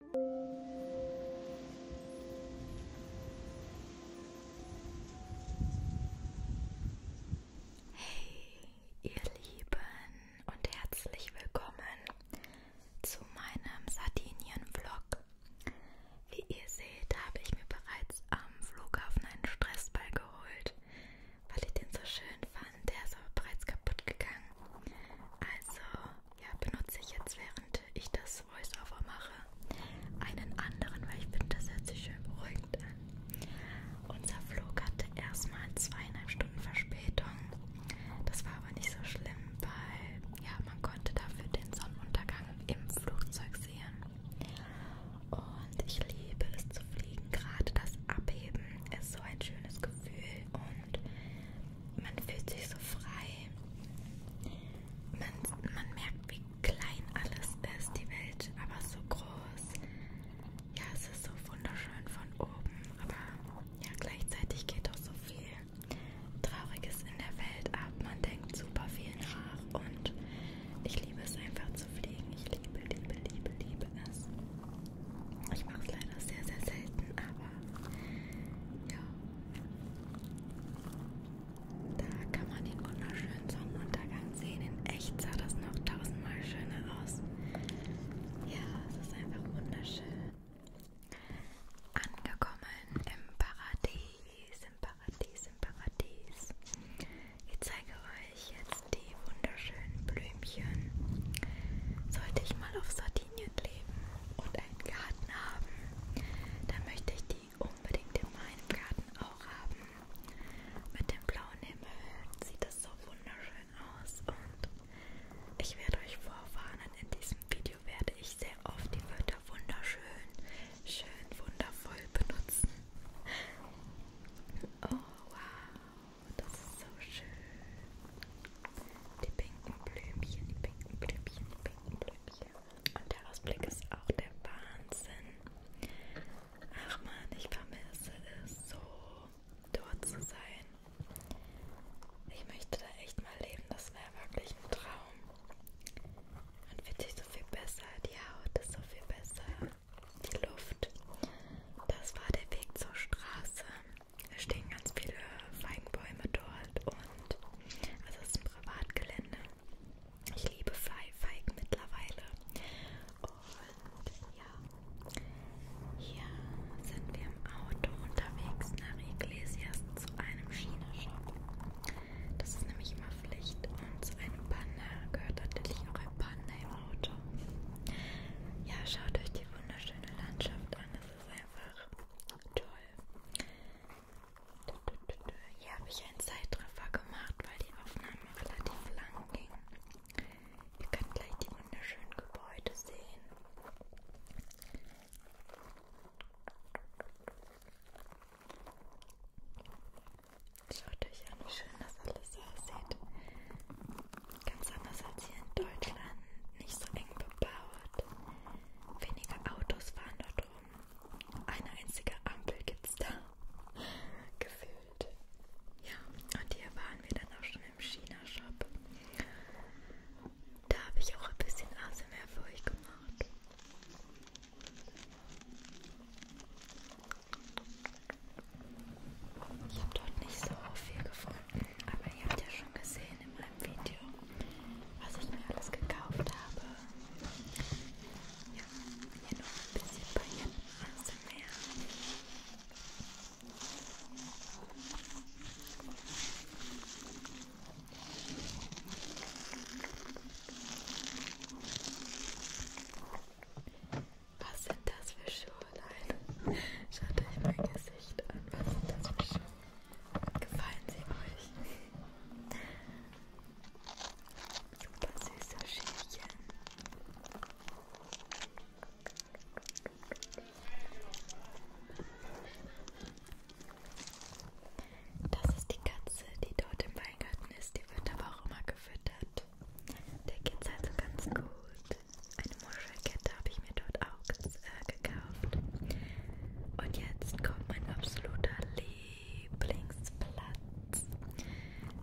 Hey, ihr Lieben und herzlich willkommen zu meinem Sardinien-Vlog. Wie ihr seht, habe ich mir bereits am Flughafen einen Stressball geholt, weil ich den so schön fand. Der ist aber bereits kaputt gegangen. Also ja, benutze ich jetzt, während ich das Voice-Over mache, einen anderen, weil ich finde, das hört sich schön beruhigend an. Unser Flug hatte erstmal zweieinhalb Stunden Verspätung. Das war aber nicht so schlimm, weil ja, man konnte dafür den Sonnenuntergang im Flugzeug sehen. Und ich liebe es zu fliegen, gerade das Abheben ist so ein schönes Gefühl und man fühlt sich so frei. Man, man merkt, wie klein alles ist, die Welt, aber so groß. Ja, es ist so wunderschön von oben, aber ja, gleichzeitig geht auch so viel Trauriges in der Welt ab. Man denkt super viel nach und ich liebe es einfach zu fliegen. Ich liebe, liebe, liebe, liebe es. Ich mache es leider sehr, sehr selten, aber ja, da kann man den wunderschönen Sonnenuntergang sehen. In echt sah das noch tausendmal schöner aus. Ja, es ist einfach wunderschön. Angekommen im Paradies, im Paradies, im Paradies. Ich zeige euch jetzt die wunderschönen Blümchen. Sollte ich mal auf Sardinien Sardinien leben und einen Garten haben, dann möchte ich die unbedingt in meinem Garten auch haben. Mit dem blauen Himmel sieht das so wunderschön aus und ich werde euch vorwarnen, in diesem Video werde ich sehr oft die Wörter wunderschön, schön, wundervoll benutzen. Oh wow, das ist so schön. Die pinken Blümchen, die pinken Blümchen, die pinken Blümchen. Und der Ausblick ist auch der Wahnsinn. Ach man, ich vermisse es so, dort zu sein. Ich möchte da echt mal leben, das wäre wirklich ein Traum. Man fühlt sich so viel besser, die Haut ist so viel besser, die Luft. Das war der Weg zur Straße. Da stehen ganz viele Feigenbäume dort und also es ist ein Privatgelände. Ich liebe Feigen mittlerweile. Und ja, hier sind wir im Auto unterwegs nach Iglesias zu einem China-Shop. Das ist nämlich immer Pflicht und zu einem Panda gehört natürlich auch ein Panda im Auto. Ja, schaut euch die wunderschöne Landschaft an, es ist einfach toll toll. Hier habe ich einen Zeitraffer gemacht, weil die Aufnahme relativ lang ging. Ihr könnt gleich die wunderschönen Gebäude sehen. Schaut euch an, wie schön das alles aussieht. Ganz anders als hier in Deutschland, nicht so eng bebaut. Weniger Autos fahren dort rum. Eine einzige Ampel gibt's da. Gefühlt. Ja, und hier waren wir dann auch schon im China-Shop. Da habe ich auch ein bisschen ASMR für euch gemacht. Ich habe dort nicht so viel gefunden. Aber ihr habt ja schon gesehen in meinem Video, was ich mir alles gekauft habe. Ja, hier noch ein bisschen Pailletten aus dem Meer. Was sind das für Schuhe? Nein, schaut euch mein Gesicht an. Was sind das für Schuhe? Gefallen sie euch? Super süßer Schälchen. Das ist die Katze, die dort im Weingarten ist. Die wird aber auch immer gefüttert. Der geht's also ganz gut. Eine eine Muschelkette habe ich mir dort auch äh, gekauft. Und jetzt kommt mein absoluter Lieblingsplatz.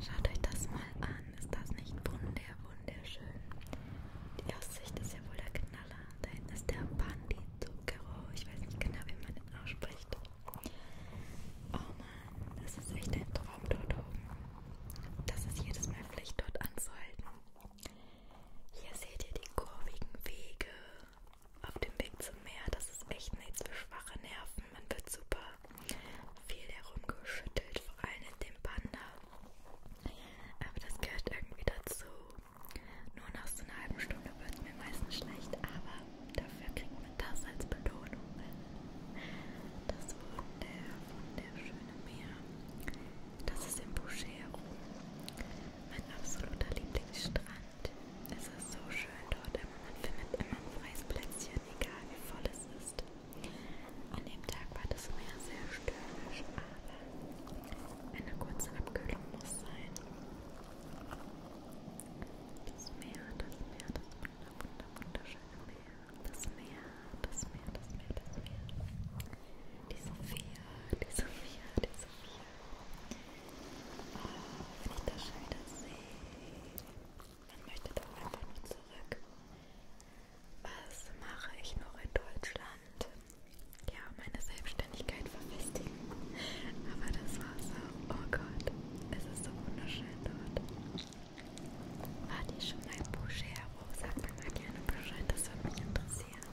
Schaut euch das mal an. Ist das nicht wunder, wunderschön? Die Aussicht ist ja wohl der Knaller. Da hinten ist der Banditzucchero. Ich weiß nicht genau, wie man den ausspricht. Oh Mann, das ist echt ein Traum dort oben. Das ist jedes Mal Pflicht, dort anzuhalten. Hier seht ihr die kurvigen Wege auf dem Weg zum Meer. Das ist echt nichts für schwache Nerven. Man wird super viel herumgeschüttelt, vor allem in dem Panda. Aber das gehört irgendwie dazu. Nur nach so einer halben Stunde wird es mir meistens schlecht, aber dafür kriegt man das als Belohnung. Das wunderschöne Meer. Das ist in Bouchero. Mein absoluter Lieblingsstrand. Es ist so schön dort, immer man findet immer ein freies Plätzchen, egal wie voll es ist. An dem Tag war das Meer sehr stürmisch, aber eine kurze Abkühlung muss sein. Das Meer, das Meer, das wunder, wunder, wunderschöne Meer. Das Meer, das Meer, das Meer, das Meer die Sophia, die Sophia, die Sophia. Oh, ah, finde ich das schön, das See. Man möchte doch einfach nur zurück. Was mache ich noch in Deutschland? Ja, meine Selbstständigkeit verfestigen. Aber das Wasser, oh Gott, es ist so wunderschön dort. Wart ihr schon mal im Boucher? Sagt mir mal gerne Bescheid, das würde mich interessieren.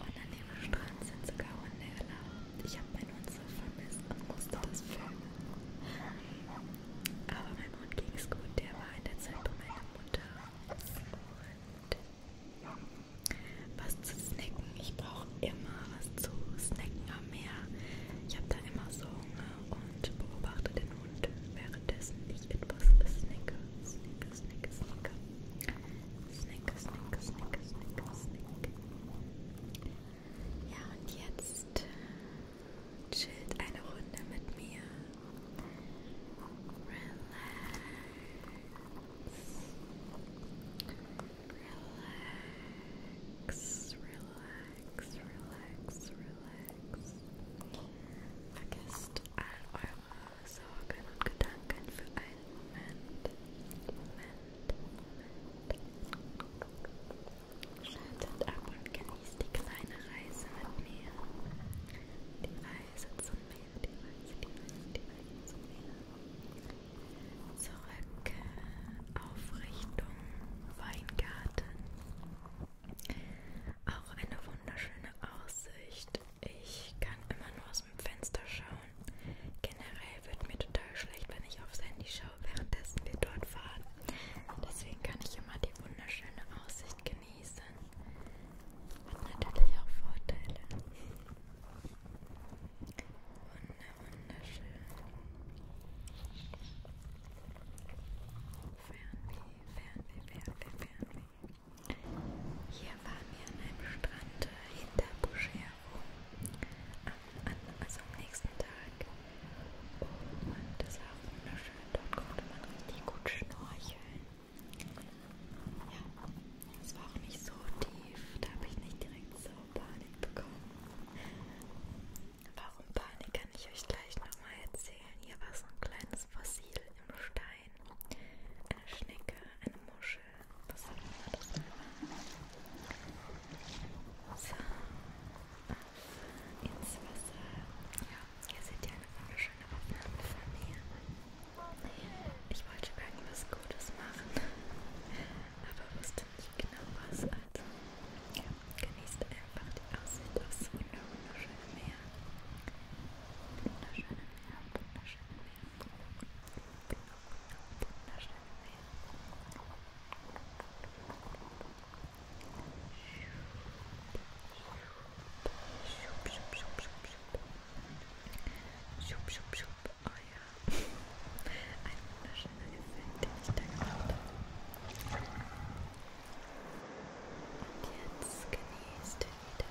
Und an dem Strand sind sogar Hunde erlaubt. Ich habe meinen Hund so vermisst und musste das filmen. Aber meinem Hund ging es gut. Der war in der Zeit bei meiner Mutter. Und was zu snacken. Ich brauche immer was zu snacken am Meer. Ich habe da immer so Hunger und beobachte den Hund währenddessen ich etwas snacke. Snacke, snacke, snacke. Snick, snick, snick, snick, snick. Ja, und jetzt chillt eine Runde mit mir. Relax. Relax, relax, relax, relax. Vergesst all eure Sorgen und Gedanken für einen Moment. Moment, Moment. Schaltet ab und genießt die kleine Reise mit mir. Die Reise zum Meer, die Reise, die Reise, die Reise zum Meer. Zurück äh, auf Richtung Weingarten. Auch eine wunderschöne Aussicht. Ich kann immer nur aus aus dem Fenster schauen. Generell wird mir total schlecht, wenn ich aufs Handy schaue, währenddessen wir dort fahren. Deswegen kann ich immer die wunderschöne Aussicht genießen. Hat natürlich auch Vorteile. Wunder, wunderschön. Fernweh, Fernweh, Fernweh, Fernweh. Hier waren wir an einem Strand hinter Buschero, am, also am nächsten Tag. Und das war auch wunderschön, dort konnte man richtig gut schnorcheln. Ja, es war auch nicht so tief, da habe ich nicht direkt so Panik bekommen. Warum Panik kann ich euch gleich nochmal erzählen. Hier war so ein kleines Fossil im Stein. Schwein, eine Schnecke, eine Muschel, was auch immer das war. So, auf ins Wasser. Ja, hier seht ihr eine wunderschöne Aufnahme von mir. Ich wollte irgendwas Gutes machen, aber wusste nicht genau was. Also, ja, genießt einfach die Aussicht aufs wunderschöne Meer. Wunderschöne Meer, wunderschöne Meer. Siup, siup, siup. Oh ja. Ein wunderschöner Effekt, den ich da gemacht habe. Und jetzt genießt ihr wieder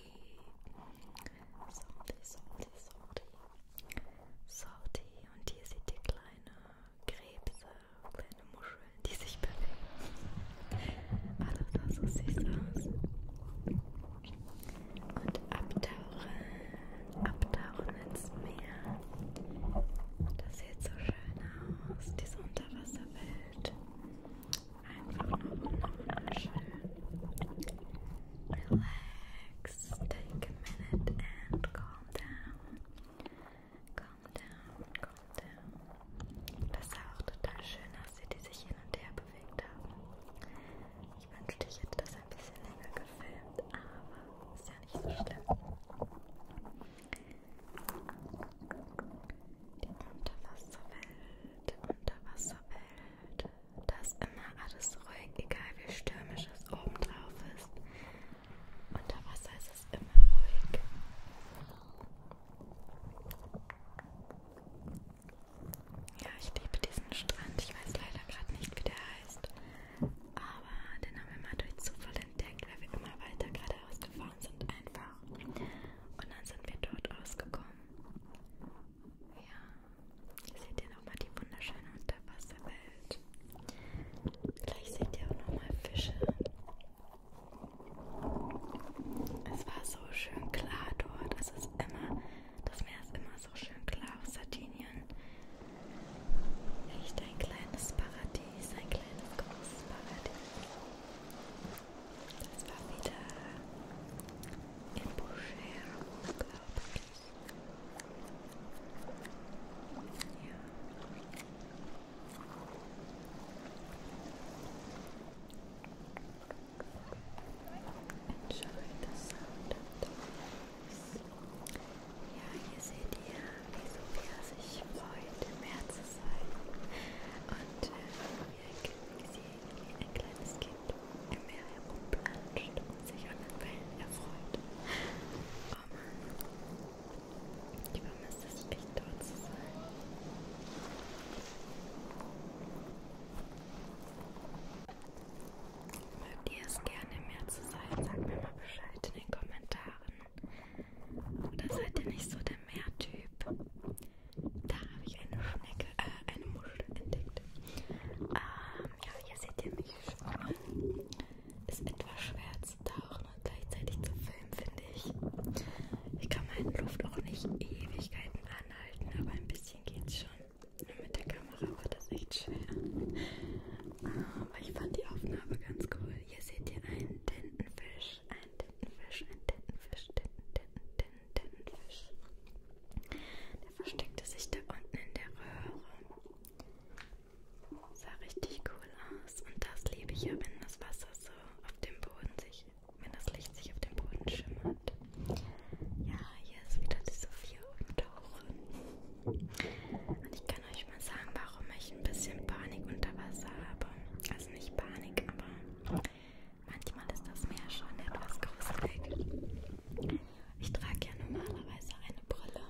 Salty, Salty, Salty. Salty. Und hier seht ihr kleine Krebse, kleine Muscheln, die sich bewegen. Also das so süß aus. Und abtauchen, abtauchen ins Meer. Das sieht so schön aus, diese Unterwasserwelt einfach nochmal schön relax. Take a minute and calm down. Calm down, calm down. Das sah auch total schön aus, wie die sich hin und her bewegt haben. Ich wünschte, ich hätte das ein bisschen länger gefilmt, aber ist ja nicht so schlimm. Die Unterwasserwelt, Unterwasserwelt. Da ist immer alles ruhig, egal wie stürmisch es obendrauf ist. Unter Wasser ist es immer ruhig. Ja, ich liebe diesen Strand. Ich weiß leider gerade nicht, wie der heißt. Aber den haben wir mal durch Zufall entdeckt, weil wir immer weiter geradeaus gefahren sind einfach. Und dann sind wir dort ausgekommen. Ja, seht ihr nochmal die wunderschöne Unterwasserwelt. Vielleicht seht ihr auch nochmal Fische. Es war so schön klar dort. Es ist immer, das Meer ist immer so schön klar auf Sardinien. Echt ein kleines Paradies, ein kleines großes Paradies. Das war wieder im Boucher, glaube ich. Ja. Enjoy the sound of dogs. Ja, hier seht ihr, wie Sophia sich freut, im Meer zu sein. Und äh, wir, sie wie ein kleines Kind im Meer herumplanscht und sich an den Wellen erfreut. Oh Mann, ich vermisse es echt dort zu sein. Mögt ihr es gerne im Meer zu sein? Sagt mir mal Bescheid in den Kommentaren. Oder seid ihr nicht so der Meertyp? Da habe ich eine Schnecke, äh, eine Muschel entdeckt. Ähm, ja, hier seht ihr mich schwimmen. Ist etwas schwer zu tauchen und gleichzeitig zu filmen, finde ich. Ich kann meine Luft auch nicht Ewigkeiten anhalten, aber ein bisschen geht's schon. Nur mit der Kamera war das echt schwer. Aber ähm, ich fand die Aufnahme ganz cool. Hier seht ihr einen Tintenfisch, einen Tintenfisch, einen Tintenfisch, Tinten, Tinten, Tinten. Tintenfisch. Der versteckte sich da unten in der Röhre. Sah richtig cool aus. Und das liebe ich ja, wenn das Wasser so auf dem Boden sich, wenn das Licht sich auf dem Boden schimmert. Ja, hier ist wieder die Sophia und Und ich kann euch mal sagen, warum ich ein bisschen Panik unter Wasser habe. Also nicht Panik, aber Manchmal ist das Meer schon etwas gruselig. Ich trage ja normalerweise eine Brille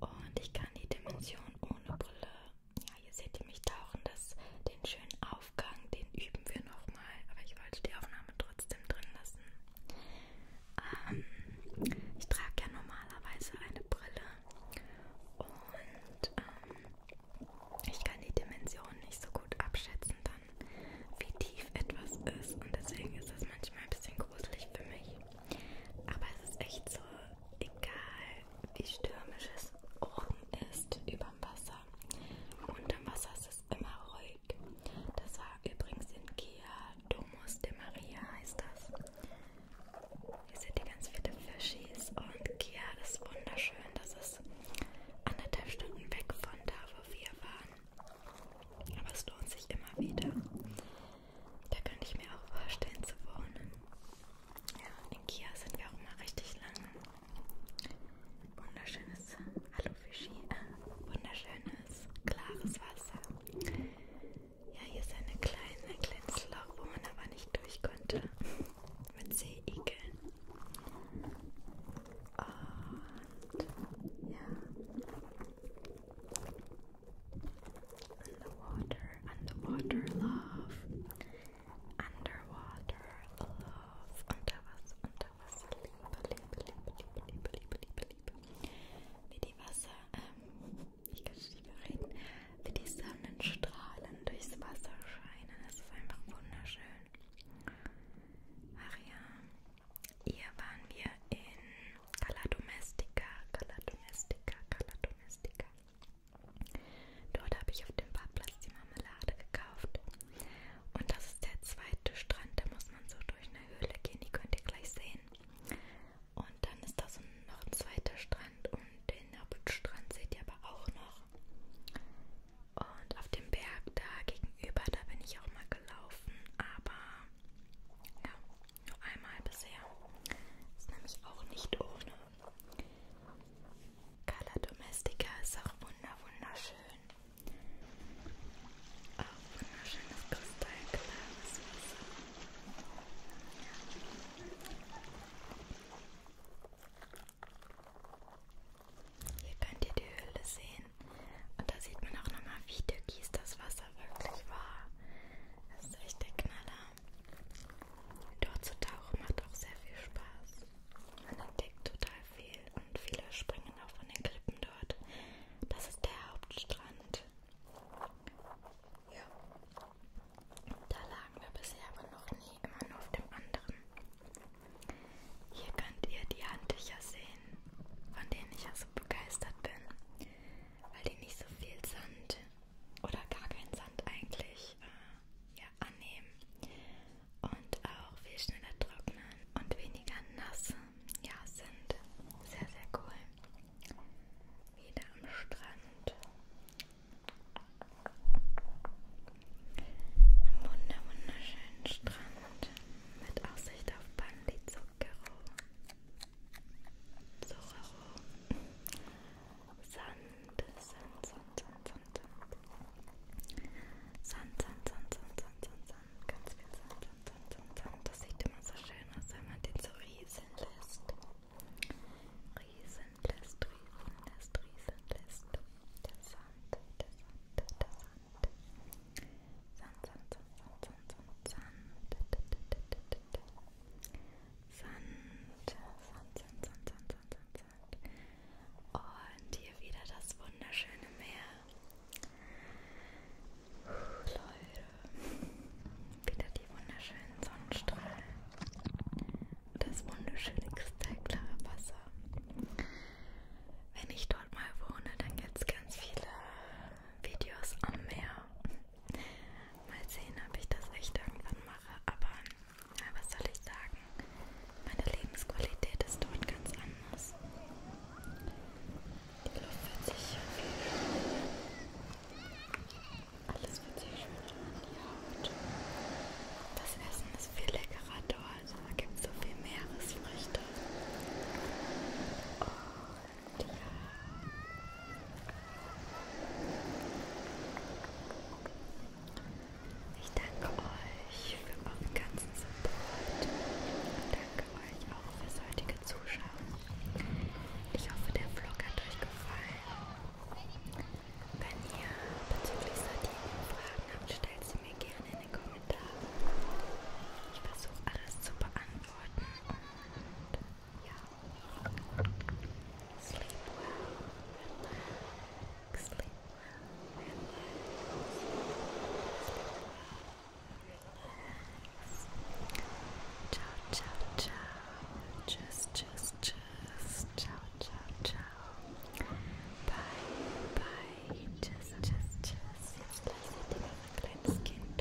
und ich kann die Dimension ohne Brille, ja, hier seht ihr mich tauchen, das, den schönen Aufgang, den üben wir nochmal, aber ich wollte die Aufnahme trotzdem drin lassen. Ähm, ich trage ja normalerweise eine Brille und ähm, ich kann die Dimensionen nicht so gut abschätzen, dann wie tief etwas ist und deswegen ist das manchmal ein bisschen gruselig für mich. Aber es ist echt so, egal wie stürmisch es oben ist, überm Wasser. Unterm Wasser ist es immer ruhig. Das war übrigens in Kia Domus de Maria heißt das. Hier seht ihr ganz viele Fischis und Kia ist wunderschön. Das ist anderthalb Stunden weg von da, wo wir waren. Aber es lohnt sich immer wieder. Da könnte ich mir auch vorstellen zu wohnen. Ja, in Kia sind wir auch immer richtig lange. Wunderschönes Alufischi, äh, wunderschönes, klares Wasser. Ja, hier ist eine kleine, ein kleines Loch, wo man aber nicht durch konnte. Mit Seeigeln. And yeah. Underwater, underwater love. Underwater love. Unter Wasser, unter Wasser. Liebe, Liebe, Liebe, Liebe, Liebe, Liebe, Liebe, Liebe. Wie die Wasser, ähm, ich kann nicht mehr reden. Wie die Sonnenstrahlen durchs Wasser scheinen. Es ist einfach wunderschön. Maria, hier waren wir in Cala Domestica, Cala Domestica, Cala Domestica. Dort habe ich auf dem Parkplatz die Marmelade gekauft. Und das ist der zweite Strand, da muss man so durch eine Höhle gehen, die könnt ihr gleich sehen. Und dann ist da so noch ein zweiter Strand und den Hauptstrand seht ihr aber auch noch. Und auf dem Berg da gegenüber, da bin ich auch mal gelaufen, aber ja, nur einmal bisher. Ist nämlich auch nicht ohne. Color Domestica ist auch wunder wunderschön. Auch wunderschönes kristallklares Wasser. Ja. Hier könnt ihr die Höhle sehen. Und da sieht man auch nochmal, wie türkis das Wasser wirklich war. Das ist echt der Knaller. Dort zu tauchen macht auch sehr viel Spaß. Man entdeckt total viel und viele springen auch von den Klippen dort. Das ist der Hauptstrand. Ja. Da lagen wir bisher aber noch nie nie immer nur auf dem anderen. Hier könnt ihr die Handtücher sehen, von denen ich ja so begeistert bin, weil die nicht so viel Sand oder gar keinen Sand eigentlich äh, ja, annehmen und auch viel schneller trocknen und weniger nass ja, sind. Sehr, sehr cool. Wieder am Strand. Am wunder wunderschönen Strand mit Aussicht auf Bandi Zucchero. Zorro. Sand, Sand, Sand, Sand, Sand, Sand. Sand, Sand, Sand, Sand, Sand, Sand, Sand. Ganz viel Sand, Sand, Sand, Sand, Sand. Das sieht immer so schön aus, wenn man den so rieseln lässt. Rieseln lässt, rieseln lässt, rieseln lässt. Der Sand, der Sand, der Sand. Sand, Sand, Sand, Sand, Sand, Sand. Sand, Sand, Sand, Sand, Sand, Sand, Sand. Und hier wieder das wunderschöne Meer. Leute, wieder die wunderschönen Sonnenstrahlen das wunderschöne kristallklare Wasser. Wenn ich dort mal wohne, dann gibt es ganz viele Videos am Meer. Mal sehen, ob ich das echt irgendwann mache. Aber na, was soll ich sagen? Meine Lebensqualität ist dort ganz anders. Die Luft wird sich viel schöner. Alles wird sich schöner an die Haut. Das Essen ist viel leckerer dort. Also da gibt es so viel Meeresfrüchte. Und ja. Ich danke euch für euren ganzen Support und danke euch auch fürs heutige Zuschauen. Ich hoffe, der Vlog hat euch gefallen. Wenn ihr bezüglich Sardinien Fragen habt, stellt sie mir gerne in den Kommentaren. Ich versuche alles zu beantworten und ja. Sleep well, relax, sleep well, relax, sleep well, relax. Ciao, ciao, ciao. Tschüss, tschüss, tschüss. Ciao, ciao, ciao. Bye, bye. Tschüss, tschüss, tschüss. Jetzt lasse ich dir mein kleines Kind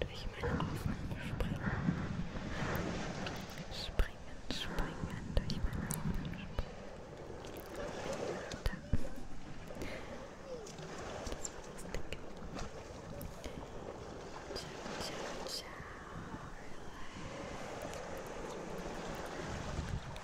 durch meine Augen springen. Springen, springen, durch meine Augen springen. Da. Das war das Ding. Ciao, ciao, ciao. Relax.